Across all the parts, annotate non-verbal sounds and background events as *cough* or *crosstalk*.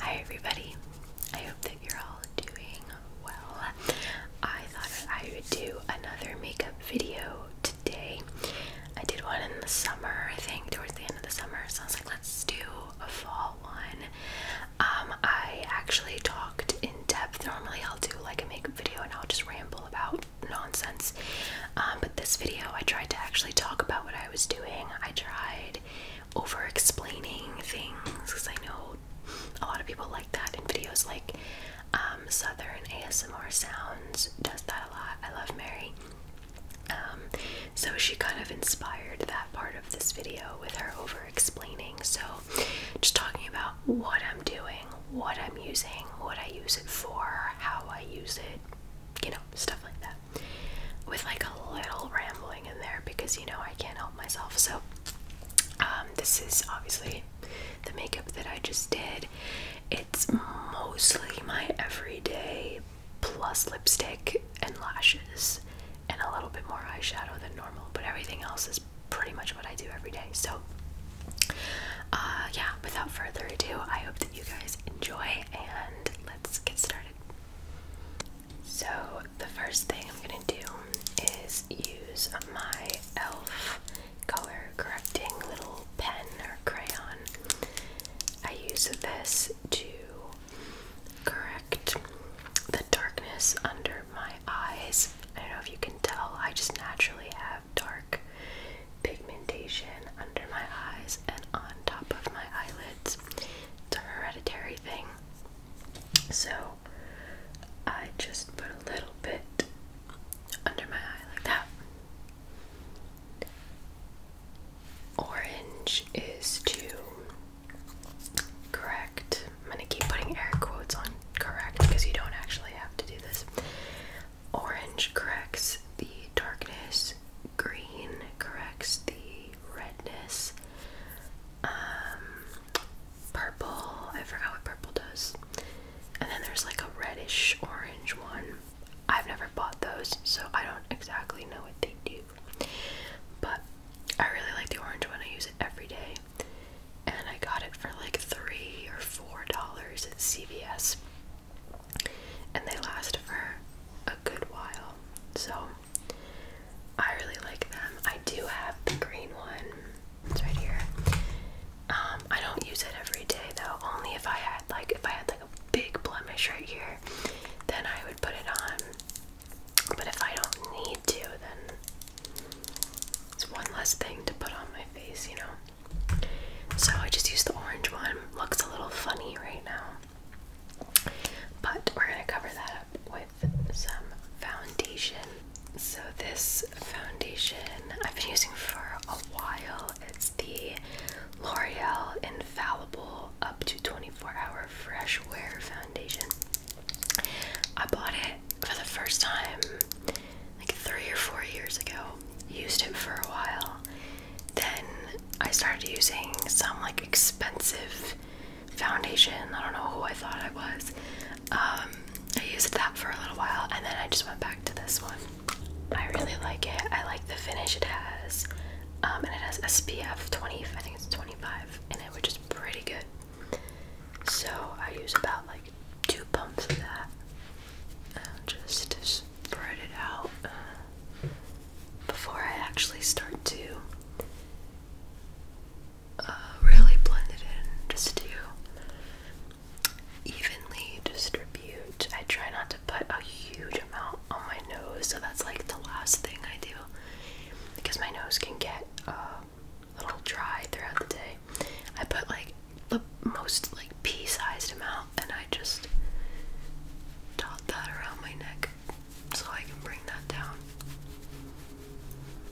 Hi everybody. I hope that you're all doing well. I thought I would do another makeup video today. I did one in the summer, I think, towards the end of the summer. So I was like, let's do a fall one. Um, I actually talked in depth. Normally, I'll do like a makeup video and I'll just ramble about nonsense. Um, but this video, I tried to actually talk about what I was doing. I tried over explaining things because I know a lot of people like that in videos like um, Southern ASMR Sounds does that a lot. I love Mary. so she kind of inspired that part of this video with her over explaining. So just talking about what I'm doing, what I'm using, what I use it for, how I use it, you know, stuff like that. With like a little rambling in there because you know I can't help myself. So, um, this is obviously the makeup that I just did. It's mostly my everyday plus lipstick and lashes and a little bit more eyeshadow than normal, but everything else is pretty much what I do every day. So, uh, yeah, without further ado, I hope that you guys enjoy and let's get started. So, the first thing I'm gonna do is use my e.l.f. color correcting little pen or crayon. I use this to correct the darkness under my eyes. I don't know if you can tell, I just naturally have dark pigmentation under my eyes and on top of my eyelids. It's a hereditary thing. So I just put a little bit under my eye like that. Orange is to Correct. I'm gonna keep putting air quotes on correct because you don't actually have to do this. Orange corrects the darkness, green corrects the redness, um, purple, I forgot what purple does. And then there's like a reddish orange one. I've never bought those, so I don't exactly know what they do. But I really like the orange one, I use it every day and I got it for like three or four dollars at CVS, and they last for a good while. So I really like them. I do have the green one. It's right here. Um, I don't use it every day though. Only if I had like if I had like a big blemish right here, then I would put it on but if I don't need to, then it's one less thing to put on my face, you know? So I just used the orange one. Looks a little funny right now. But we're gonna cover that up with some foundation. So this foundation I've been using for a while. It's the L'Oreal Infallible Up to 24 Hour Fresh Wear Foundation. I bought it for the first time like three or four years ago. Used it for a while. Then I started using some like expensive foundation. I don't know who I thought I was. Um, I used that for a little while and then I just went back to this one. I really like it. I like the finish it has. Um, and it has SPF 25. I think it's 25 in it, which is pretty good. So I use about like two pumps of that and uh, just spread it out uh, before I actually start to uh, really blend it in. Just to evenly distribute. I try not to put a huge amount on my nose, so that's like the last thing I do because my nose can get. Um, little dry throughout the day. I put like the most like pea-sized amount and I just dot that around my neck so I can bring that down.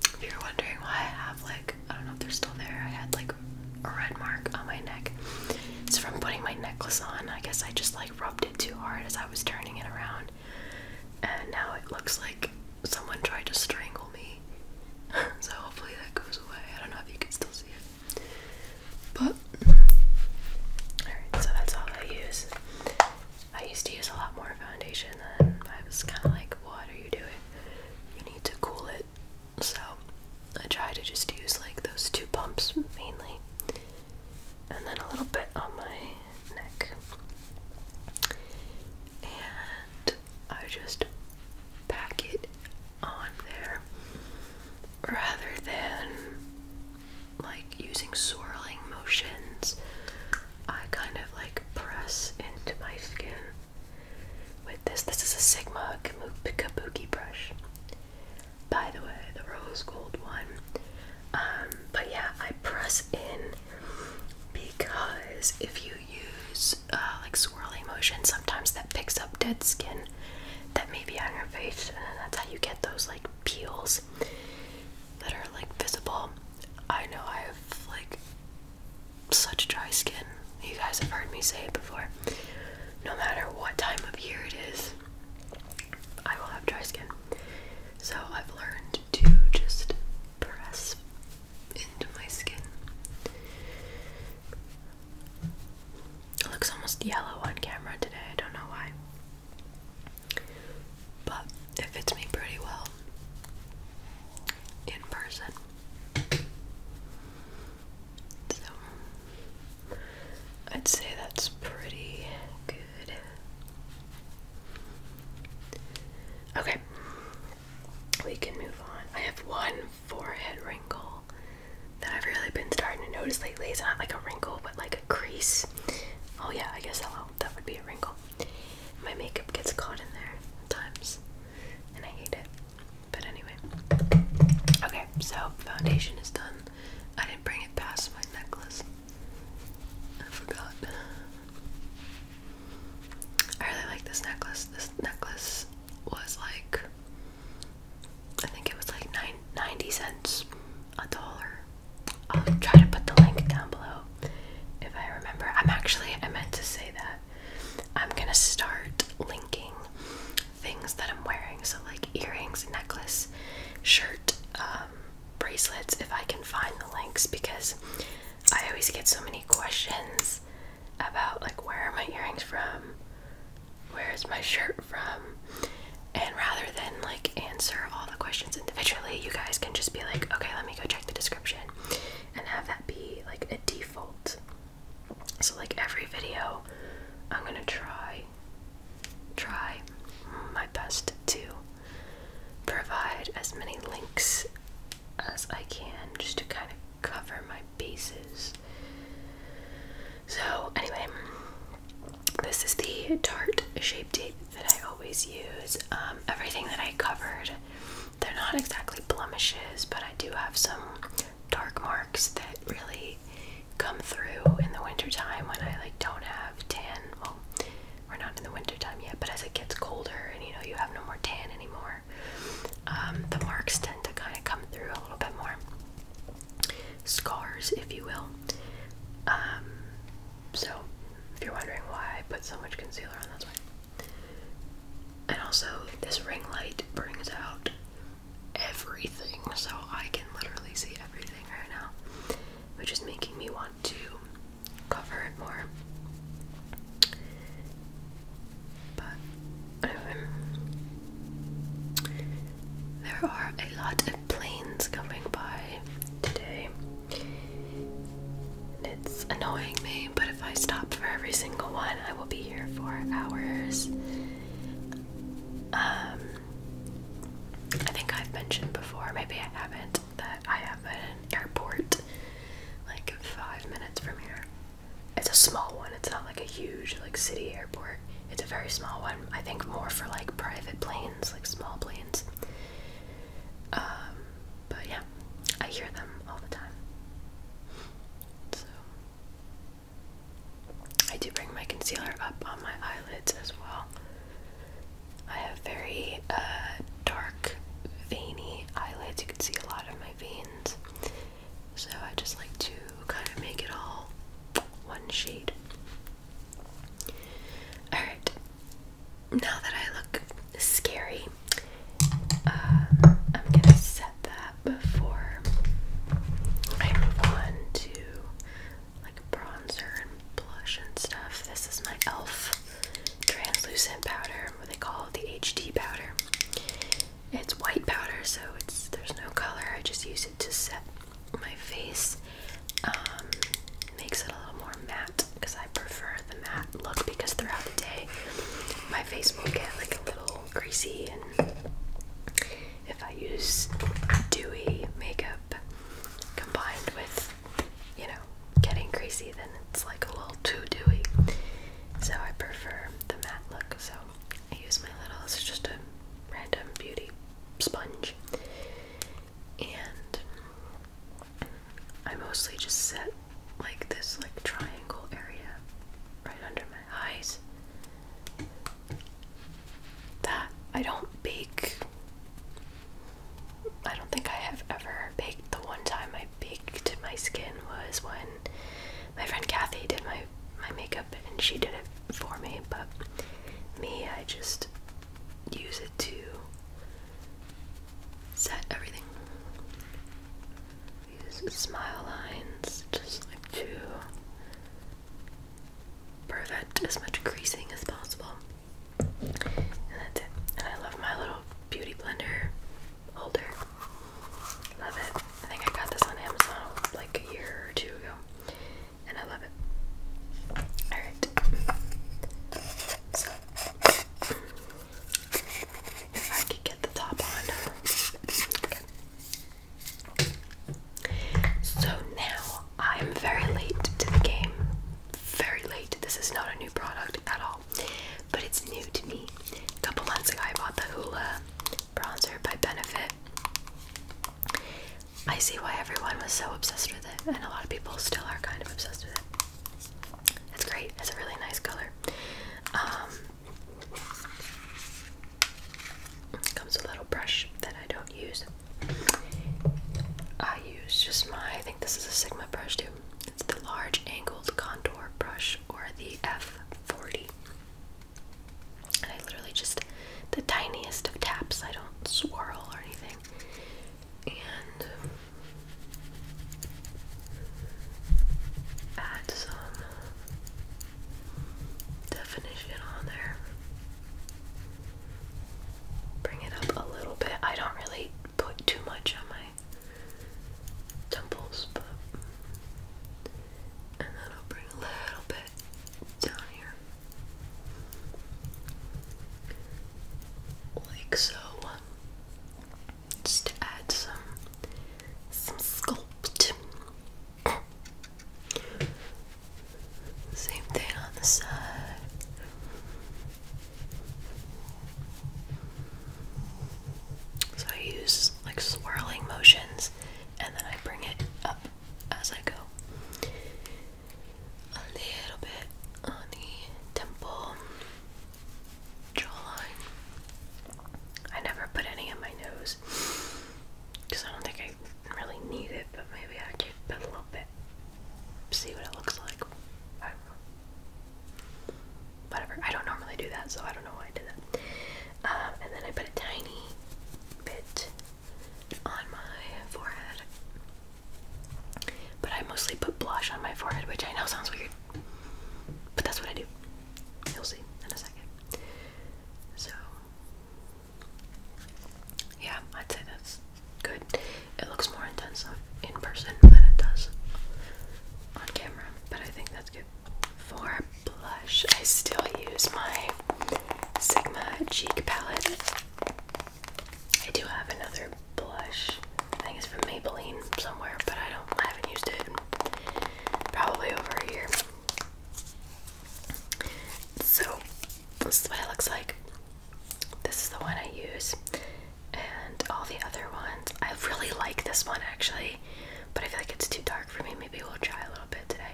If you're wondering why I have like I don't know if they're still there, I had like a red mark on my neck. It's from putting my necklace on. I guess I just like rubbed it too hard as I was turning it around and now it looks like someone tried to strangle me. *laughs* so hopefully that goes away. I don't know if you can still see it, but alright. So that's all I use. I used to use a lot more foundation, and I was kind of like, "What are you doing? You need to cool it." So I try to just use like those two pumps mainly, and then a little bit on my neck. And I just pack it on there rather than like using swirling motions. I kind of like press into my skin with this. This is a Sigma Kabuki brush. By the way, the rose gold one. Um, but yeah, I press in because if you use uh, like swirling motion, sometimes that picks up dead skin that may be on your face, and then that's how you get those like peels that are like visible. I know I have like such dry skin. You guys have heard me say it before. No matter what time of year it is, I will have dry skin. So I've learned to just press into my skin. It looks almost yellow on camera today, I don't know why. But it fits me pretty well in person. So I'd say that's pretty good. Okay, we can move on. I have one forehead wrinkle that I've really been starting to notice lately. It's not like a wrinkle, but like a crease. Oh yeah, I guess hello, that would be a wrinkle. My makeup gets caught in there sometimes, and I hate it. But anyway, okay, so foundation is done. I didn't bring it past my necklace. I forgot. I really like this necklace. This necklace was like, I think it was like nine, 90 cents, a dollar. I'll try to put the link down below if I remember. I'm actually, I meant to say that. I'm gonna start linking things that I'm wearing. So, like earrings, necklace, shirt, um, bracelets if I can find the links because I always get so many questions about like where are my earrings from? Where is my shirt from? And rather than like answer all the questions individually, you guys can just be like, okay, let me go check the description and have that be like a default. So like every video, I'm gonna try try my best to provide as many links as I can just to kind of cover my bases. So, anyway, this is the tart shape tape that I always use. Um, everything that I covered, they're not exactly blemishes, but I do have some dark marks that really come through in the wintertime when I like don't have tan we're not in the wintertime yet, but as it gets colder and you know you have no more tan anymore, um, the marks tend to kind of come through a little bit more. Scars, if you will. Um, so, if you're wondering why I put so much concealer on, that's why. And also, this ring light brings out everything, so I can literally see everything right now, which is making me want to cover it more. But there are a lot of planes coming by today. It's annoying me, but if I stop for every single one, I will be here for hours. Um, I think I've mentioned before, maybe I haven't, that I have an airport like five minutes from here. It's a small one, it's not like a huge like city airport. It's a very small one. I think more for like private planes, like small planes. Um, but yeah, I hear them all the time. So I do bring my concealer up on my eyelids as well I have very uh, dark, veiny eyelids. You can see a lot of my veins. So I just like to kind of make it all one shade. Alright, now that I look scary, um, I'm gonna set that before I move on to like bronzer and blush and stuff. This is my e.l.f translucent powder, what they call the HD powder. It's white powder, so it's there's no color. I just use it to set my face. Um, makes it a little more matte because I prefer the matte look because throughout the day my face will get like a little greasy and if I use dewy makeup combined with you know, getting greasy, then it's like a little too dewy. So I prefer the matte look. So I use my little, it's just a random beauty sponge. And I mostly just set like this like triangle area right under my eyes. That I don't bake I don't think I have ever baked. The one time I baked my skin was when my friend Kathy did my my makeup and she did it for me, but me I just use it to set everything. Use smile lines just to prevent as much creasing as possible. And that's it. And I love my little beauty blender holder. Love it. I think I got this on Amazon like a year or two ago. And I love it. Alright. So if I could get the top on. So now I'm very late to the game very late. This is not a new product at all, but it's new to me. A couple months ago, I bought the Hoola bronzer by Benefit. I see why everyone was so obsessed with it, and a lot of people still are kind of obsessed with it. It's great, it's a really nice color. Um, comes with a little brush that I don't use. I use just my, I think this is a Sigma brush too. It's the large angled contour brush or the F40. I literally just the tiniest of taps. I don't swirl or anything. And add some definition on there. Bring it up a little bit. I don't really put too much on my temples, but and then I'll bring a little bit down here. Like so. Just to add some some sculpt. Same thing on the side. So I use like swirling motions and then I bring it up as I go. A little bit on the temple, jawline. I never put any on my nose because I don't think I really need it, but maybe I could put a little bit. See what it looks like. Whatever. I don't normally do that, so I don't know why I did that. Um, and then I put a tiny bit on my forehead. But I mostly put blush on my forehead, which I know sounds weird. But that's what I do. You'll see in a second. So, yeah, I'd say that's good. It looks more intense in person than it does on camera, but I think that's good. For blush, I still use my Sigma cheek palette. I do have another blush. I think it's from Maybelline somewhere, but I don't I haven't used it probably over a year. So this is what it looks like. This is the one I use, and all the other ones. I really like this one actually, but I feel like it's too dark for me. Maybe we'll try a little bit today.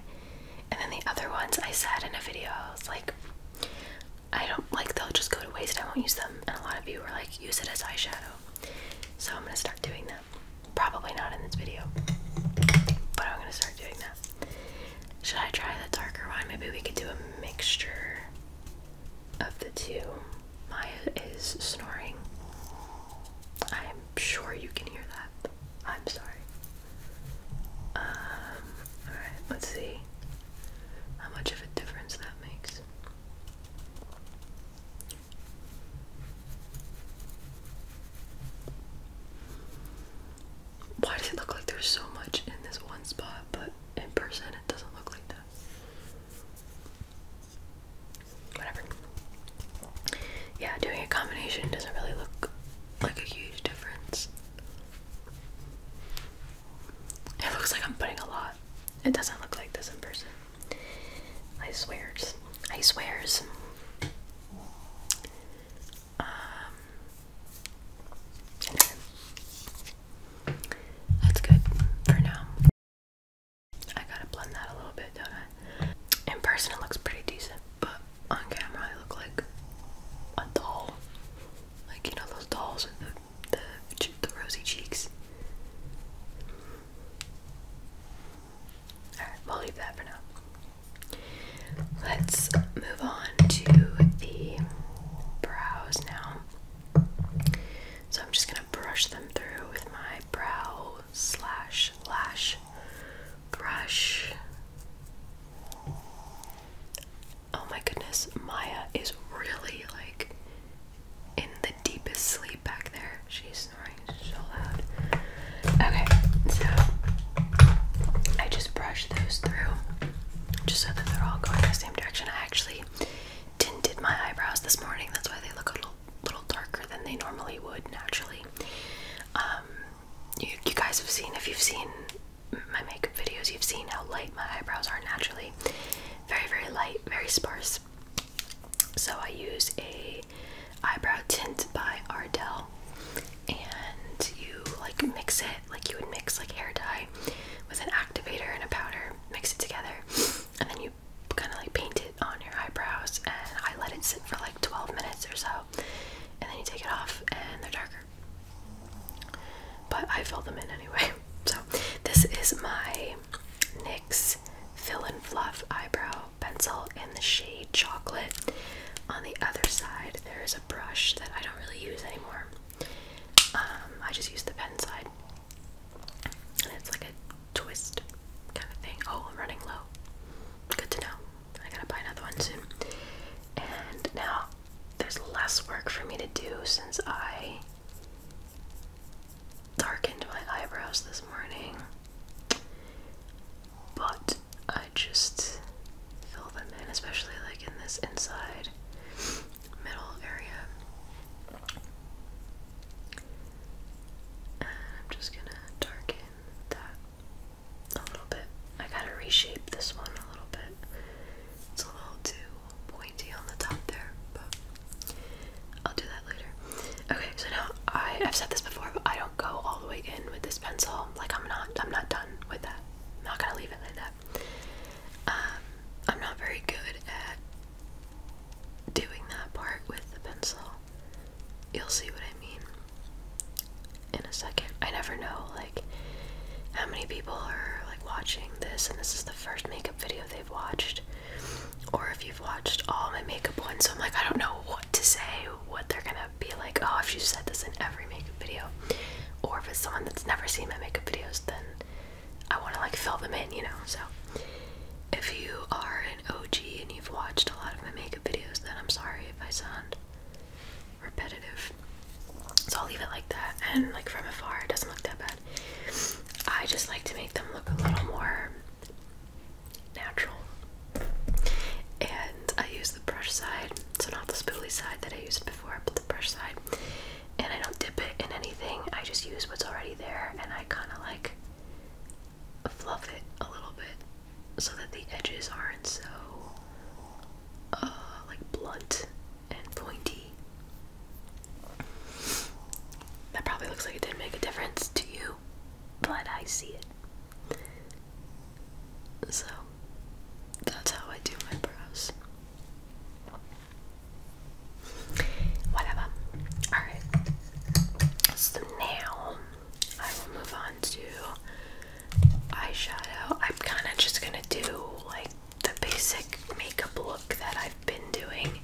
And then the other ones I said in a video, I was like, I don't like they'll just go to waste. I won't use them. And a lot of you were like, use it as eyeshadow. So I'm gonna start doing that. Probably not in this video, but I'm gonna start doing that. Should I try the darker one? Maybe we could do a mixture of the two. Maya is snoring. I'm sure you can hear that. I'm sorry. Um, alright, let's see how much of a difference that makes. Why does it look like there's so much in this one spot, but in person it doesn't look like that? Whatever. Yeah, doing a combination doesn't really look like a huge difference. It looks like I'm putting a lot. It doesn't look like this in person. I swear. I swear. Um, that's good for now. I gotta blend that a little bit, don't I? In person it looks pretty decent, but on camera I look like a doll. Like you know those dolls with the, the rosy cheeks. Alright, we'll leave that for now. Let's move on to the brows now. So I'm just gonna brush them through with my brow slash lash brush. Oh my goodness, Maya is really like in the deepest sleep back there. She's snoring so loud. Okay, so I just brush those through just so that they're all going the same direction. actually actually tinted my eyebrows this morning. That's why they look a little, darker than they normally would naturally. Um, you guys have seen, if you've seen my makeup videos, you've seen how light my eyebrows are naturally. Very, very light, very sparse. So I use a eyebrow tint by Ardell, and you like mix it like you would mix like hair dye with an activator and a powder, mix it together, and then you kind of like paint it on your eyebrows. And I let it sit for like 12 minutes or so, and then you take it off, and they're darker. But I fill them in anyway. *laughs* So this is my NYX Fill and Fluff eyebrow pencil in the shade chocolate. On the other side, there is a brush that I don't really use anymore. Um, I just use the pen side. And it's like a twist kind of thing. Oh, I'm running low. Good to know. I gotta buy another one soon. And now there's less work for me to do since I darkened my eyebrows this morning. But I just fill them in, especially like in this inside middle area. And I'm just gonna darken that a little bit. I gotta reshape this one a little bit. It's a little too pointy on the top there, but I'll do that later. Okay, so now I, have said this before, but I don't go all the way in with this pencil. Like I'm not I'm not done with that. I'm not gonna leave it like that. Um, I'm not very good at doing that part with the pencil. You'll see what I mean in a second. I never know, like, how many people are, like, watching this and this is the first makeup video they've watched. Or if you've watched all my makeup ones, so I'm like, I don't know what to say, what they're gonna be like, oh, if you said this in every makeup video. Or if it's someone that's never seen my makeup videos, then I want to like fill them in, you know. So if you are an OG and you've watched a lot of my makeup videos, then I'm sorry if I sound repetitive. So I'll leave it like that. And like from afar, it doesn't look that bad. I just like to make them look a little more natural. And I use the brush side, so not the spoolie side that I used before, but the brush side and I don't dip it in anything. I just use what's already there and I kind of like fluff it a little bit so that the edges aren't so uh, like blunt and pointy. That probably looks like it didn't make a difference to you, but I see it. So that's how I do my brows. Whatever. Alright. So now I will move on to eyeshadow. I'm kind of just going to do like the basic makeup look that I've been doing.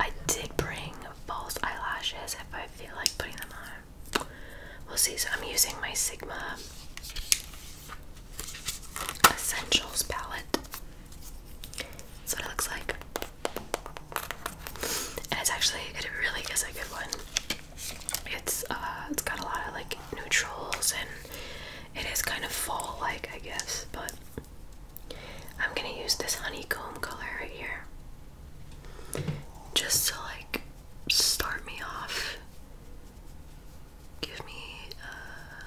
I did bring false eyelashes if I feel like putting them on. We'll see. So I'm using my Sigma Essentials palette. That's what it looks like. And it's actually, it really is a good one. It's uh, it's got a lot of like neutrals and it is kind of fall like, I guess, but I'm gonna use this honeycomb color right here just to like start me off give me uh,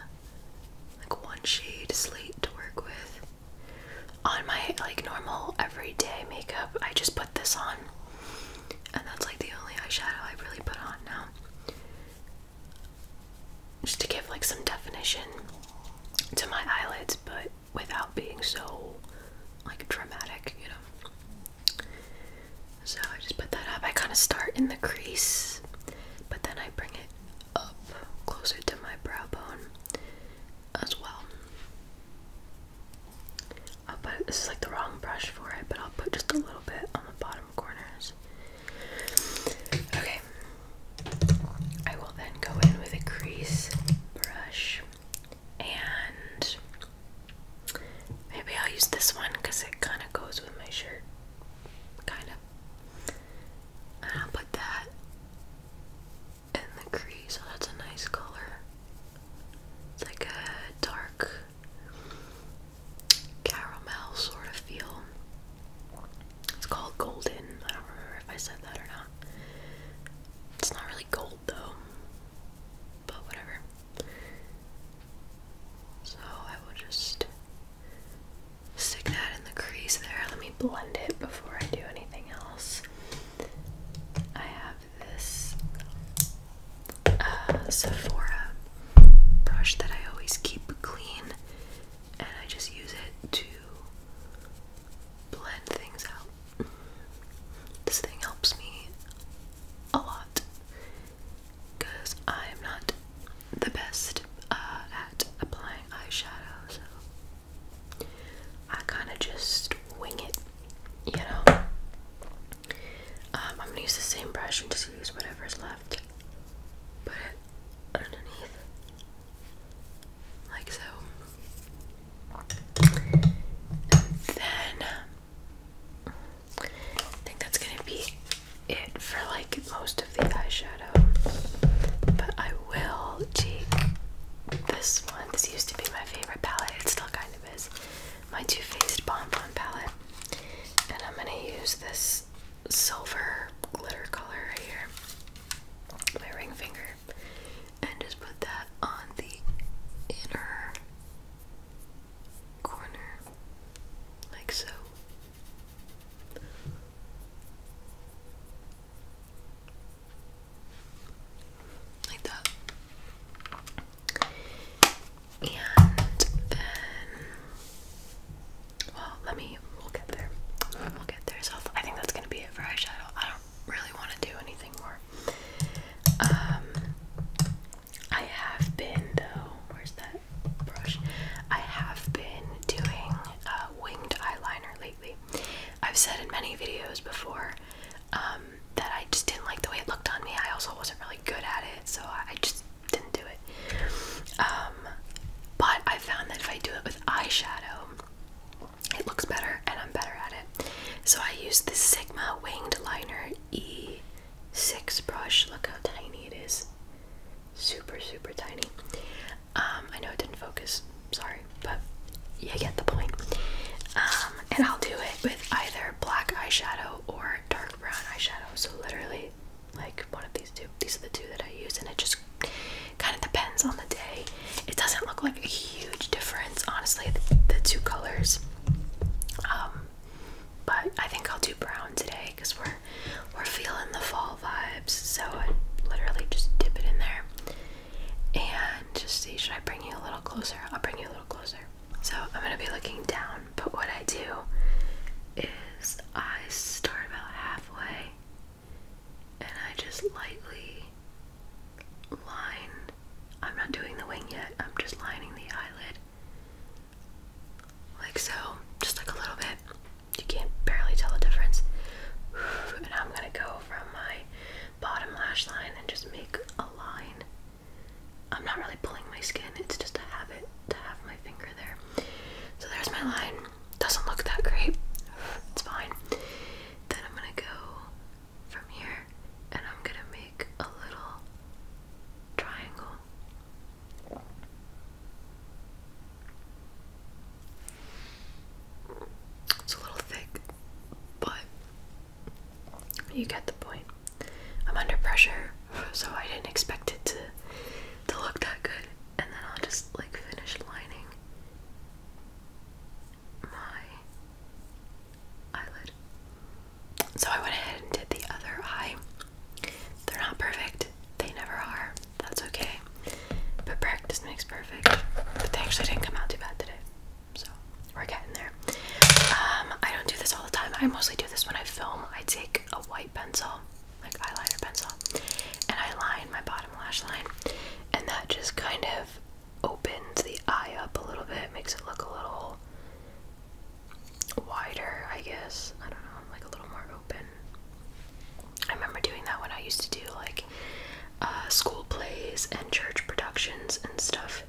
like one shade slate to work with. On my like normal everyday makeup, I just put this on, and that's like the only eyeshadow I really put on now. Just to give like some definition to my eyelids, but without being so like dramatic, you know. So I just put that up. I kind of start in the crease but then I bring it up closer to my brow bone as well. I'll this is like the wrong brush for it, but I'll put just a little bit on the bottom corners. Okay, I will then go in with a crease brush and maybe I'll use this one because it kind of goes with my shirt. Kind of. And I'll put that in the crease. So oh, that's a nice color. It's like a dark caramel sort of feel. It's called golden. I don't remember if I said that or not. It's not really gold though, but whatever. So I will just Stick that in the crease there. Let me blend it before I do anything else. I have this uh, Sephora brush that I always keep clean, and I just use it to blend things out. This thing helps me a lot because I'm not the best uh, at applying eyeshadow, so I kind of just wing it, you know. Um, I'm gonna use the same brush and just use whatever's left, put it underneath, like so. then I think that's gonna be it for like most of the eyeshadow. But I will take this one. This used to be my favorite palette. It still kind of is. My Too Faced Bon Bon palette. And I'm gonna use this silver glitter color right here. My ring finger. And just put that on the inner corner, like so. Like that. And then, well, let me, we'll get there. We'll get there. So I think that's gonna be it for eyeshadow. I don't really want to do anything more. Um, I have been though. Where's that? brush. I have been doing uh, winged eyeliner lately. I've said in many videos before um, that I just didn't like the way it looked on me. I also wasn't really good at it, so I just didn't do it. Um, but I found that if I do it with eyeshadow, it looks better and I'm better at it. So I use the Sigma Winged Liner E six brush. Look how tiny it is. Super, super tiny. Um, I know it didn't focus, sorry, but you get the point. Um, and I'll do it with either black eyeshadow or dark brown eyeshadow. So literally, like one of these two. These are the two that I use, and it just kind of depends on the day. It doesn't look like a huge difference, honestly, the, two colors. Um, but I think I'll do brown today because we're we're feeling the fall vibes, so I literally just dip it in there and just see. Should I bring you a little closer? I'll bring you a little closer. So I'm gonna be looking down, but what I do is I start about halfway and I just lightly line. I'm not doing the wing yet, I'm just lining the eyelid like so, just like a little bit. You can't barely tell the difference. *sighs* And I'm gonna go from my bottom lash line and just make a line. I'm not really pulling my skin, it's just a habit to have my finger there. So there's my line. Doesn't look that great. *sighs* It's fine. Then I'm gonna go from here and I'm gonna make a little triangle. It's a little thick, but you get the point. I'm under pressure, so I didn't expect it to to look that good. And then I'll just like finish lining my eyelid. So I went ahead and did the other eye. They're not perfect. They never are. That's okay. But practice makes perfect. But they actually didn't come out too bad today. So we're getting there. Um, I don't do this all the time. I mostly do this when I film. I take a white pencil, like eyeliner pencil, and I line my bottom lash line. And that just kind of opens the eye up a little bit, makes it look a little wider, I guess. I don't know, I'm like a little more open. I remember doing that when I used to do like uh, school plays and church productions and stuff.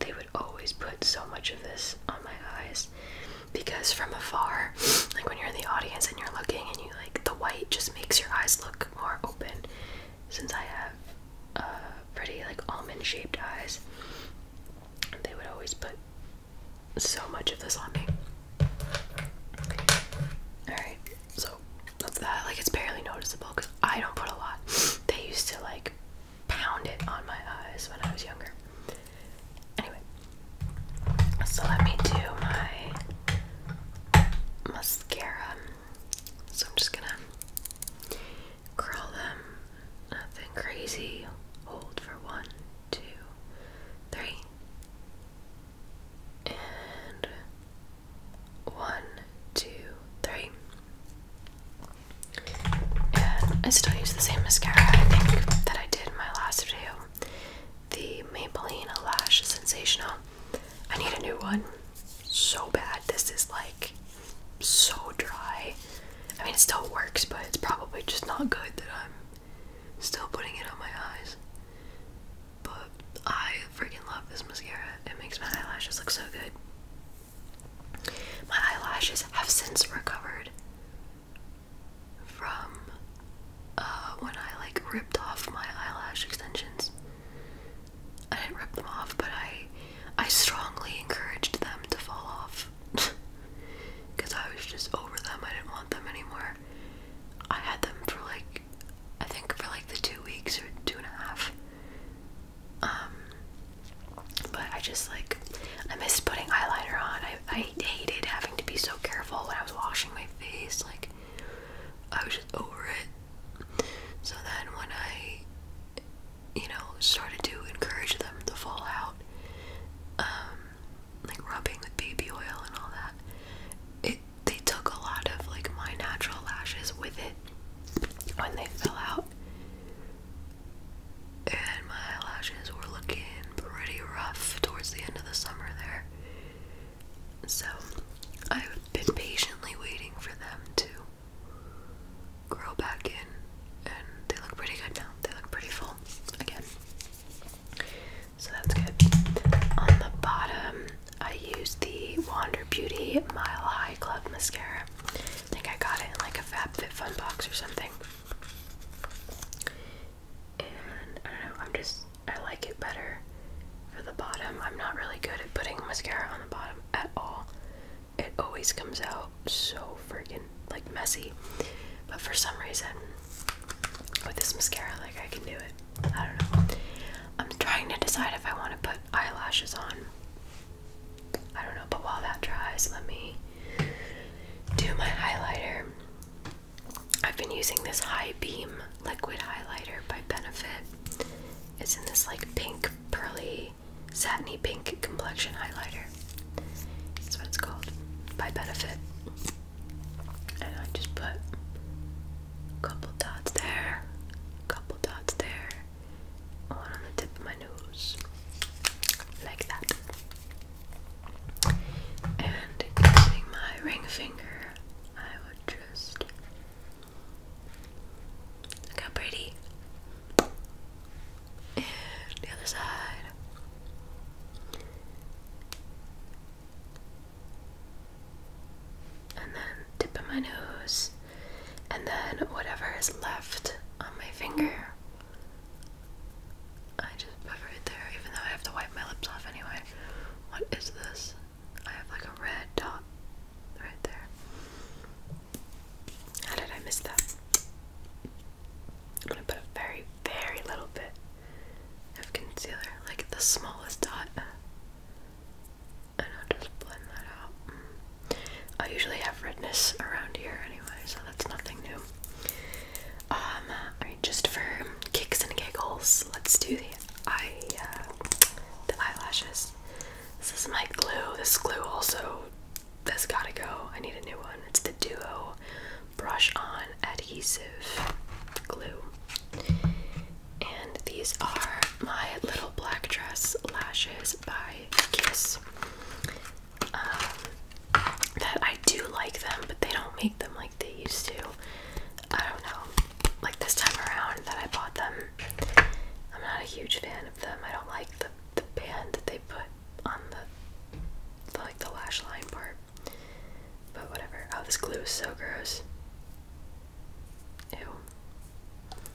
They would always put so much of this on my eyes because from afar, *sniffs* like when you're in the audience and you're looking and you like the white just makes your eyes look more open. Since I have uh, pretty like almond shaped eyes, they would always put so much of this on me. Alright, so that's that. Like, it's barely noticeable because I don't put a lot. They used to, like, pound it on my eyes when I was younger. Anyway, so let me do my mascara. So I'm just gonna curl them, nothing crazy. Hold for one, two, three, and one, two, three. And I still use the same mascara I think that I did in my last video, the Maybelline Lash Sensational. I need a new one so bad. This is like so dry. I mean, it still works, but it's probably just not good that I'm Still putting it on my eyes. But I freaking love this mascara. It makes my eyelashes look so good. My eyelashes have since recovered from uh, when I like ripped off my eyelash extensions. I didn't rip them off, but I I strongly encouraged them to fall off because *laughs* I was just over them. I didn't want them anymore. I had them for like, I think for like the two weeks or two and a half. Um, but I just like, I missed putting eyeliner on. I, I hated having to be so careful when I was washing my face. Like, I was just over it. So then when I, you know, started to encourage them to fall out, um, like rubbing with baby oil and all that. It they took a lot of like my natural lashes with it when they fell out. And my eyelashes were looking pretty rough towards the end of the summer there. So I've been patiently waiting for them to grow back in, and they look pretty good now. They look pretty full again. So that's good. On the bottom, I use the Wander Beauty Mile High Club mascara. I think I got it in like a FabFitFun box or something. I don't know, I'm just, I like it better for the bottom. I'm not really good at putting mascara on the bottom at all. It always comes out so freaking like messy. But for some reason, with this mascara, like I can do it. I don't know. I'm trying to decide if I want to put eyelashes on. I don't know, but while that dries, let me do my highlighter. I've been using this High Beam Liquid Highlighter by Benefit. It's in this like pink, pearly, satiny pink complexion highlighter. That's what it's called by Benefit. And I just put a couple dots there, a couple dots there, on on the tip of my nose, like that. And using my ring finger, I would just look how pretty and the other side. And then tip of my nose, and then whatever is left on my finger. I just put right there, even though I have to wipe my lips off anyway. What is this? I have like a red dot right there. How did I miss that? I'm gonna put a very, very little bit of concealer, like the smallest dot, and I'll just blend that out. I usually have redness around here anyway, so that's nothing new. Um, just for kicks and giggles, let's do the eye, uh, the eyelashes. This is my glue. This glue also has gotta go. I need a new one. It's the Duo brush on adhesive glue. And these are my Little Black Dress Lashes by Kiss. Um, that I do like them, but they don't make them like they used to. I don't know. Like this time around that I bought them, I'm not a huge fan of them. I don't like the the band that they put on the like the lash line part. But whatever. Oh, this glue is so gross. Ew.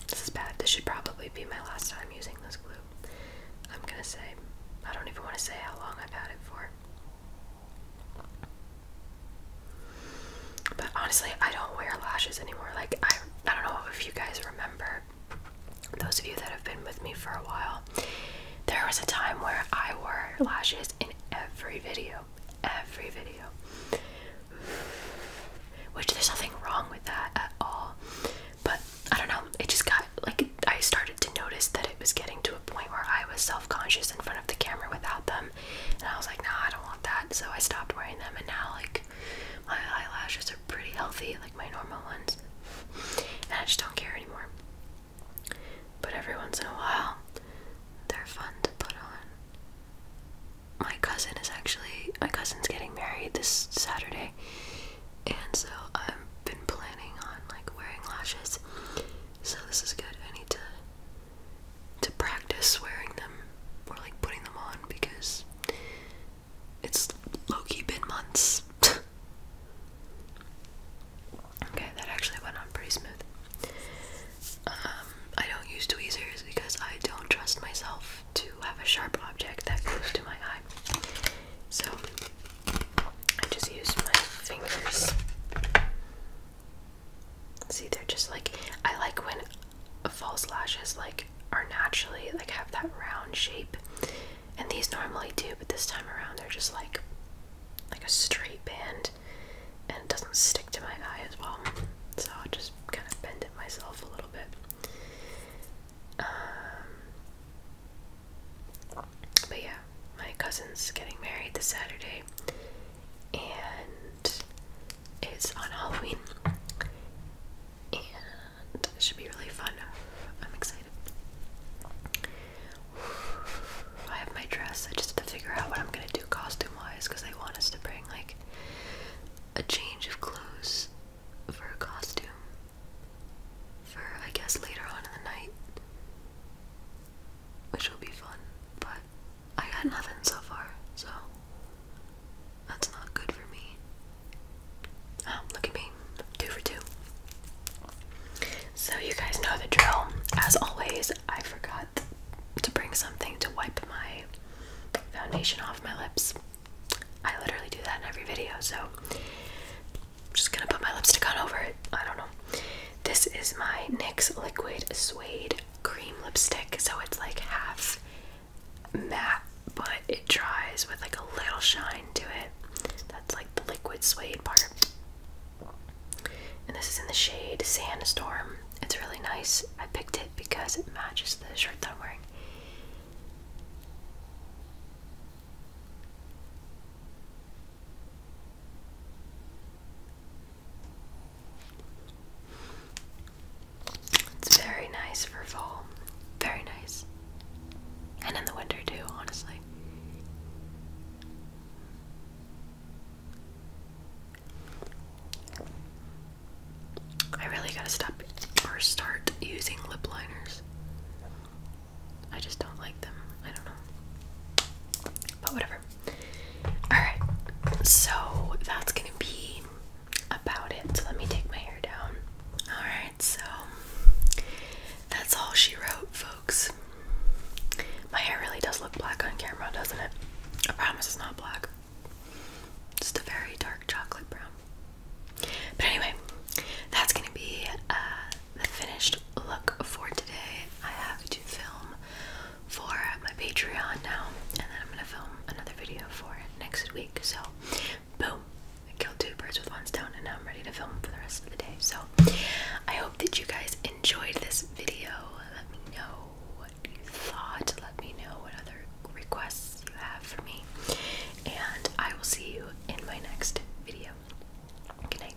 This is bad. This should probably be my last time using this glue. I'm gonna say, I don't even want to say how long I've had it for. But honestly, I don't wear lashes anymore. Like, I, I don't know if you guys remember those of you that have been with me for a while, there was a time where I wore lashes in every video. Every video. Which there's nothing wrong with that at all. But I don't know, it just got like I started to notice that it was getting to a point where I was self conscious in front of the camera without them. And I was like, nah, I don't want that. So I stopped wearing them. And now, like, my eyelashes are pretty healthy, like my normal ones. And I just don't care anymore. But every once in a while, they're fun to put on. My cousin is actually, my cousin's getting married this Saturday, and so I've been planning on like wearing lashes. So this is good. I need to to practice wearing them or like putting them on because it's low-key been months *laughs* okay, that actually went on pretty smooth. Um, I don't use tweezers because I don't trust myself to have a sharp object that goes to my eye. So I just use my fingers. See, they're just like I like when false lashes like are naturally like have that round shape and these normally do, but this time around they're just like like a straight band and it doesn't stick to my eye as well. So I'll just kind of bend it myself a little bit. Um, but yeah, my cousin's getting married this Saturday and it's on Halloween. And it should be really fun. I'm excited. I have my dress. I just have to figure out what I'm gonna do costume wise because they want us to bring like a change of clothes for a costume for I guess later on in the night, which will be fun. But I got nothing so far, so that's not good for me. Oh, look at me, two for two. So, you guys know the drill. As always, I forgot to bring something to wipe my foundation off my lips. I literally do that in every video, so I'm just gonna put my lipstick on over it. I don't know. This is my NYX Liquid Suede Cream Lipstick, so it's like half matte, but it dries with like a little shine to it. That's like the liquid suede part. And this is in the shade Sandstorm. It's really nice. I picked it because it matches the shirt that I'm wearing. It's very nice for fall. Very nice. And in the winter too, honestly. I really gotta stop or start using lip liners. I just don't like them. I don't know. But whatever. Alright, so that's gonna be about it. So let me take my hair down. Alright so that's all she wrote, folks. My hair really does look black on camera, doesn't it? I promise it's not black. Just a very dark chocolate brown. But anyway, that's gonna be uh, the finished look for today. I have to film for my Patreon now, and then I'm gonna film another video for next week. So, boom, I killed two birds with one stone and now I'm ready to film for the rest of the day. So I hope that you guys enjoyed this video. Let me know what you thought. Let me know what other requests you have for me. And I will see you in my next video. Good night.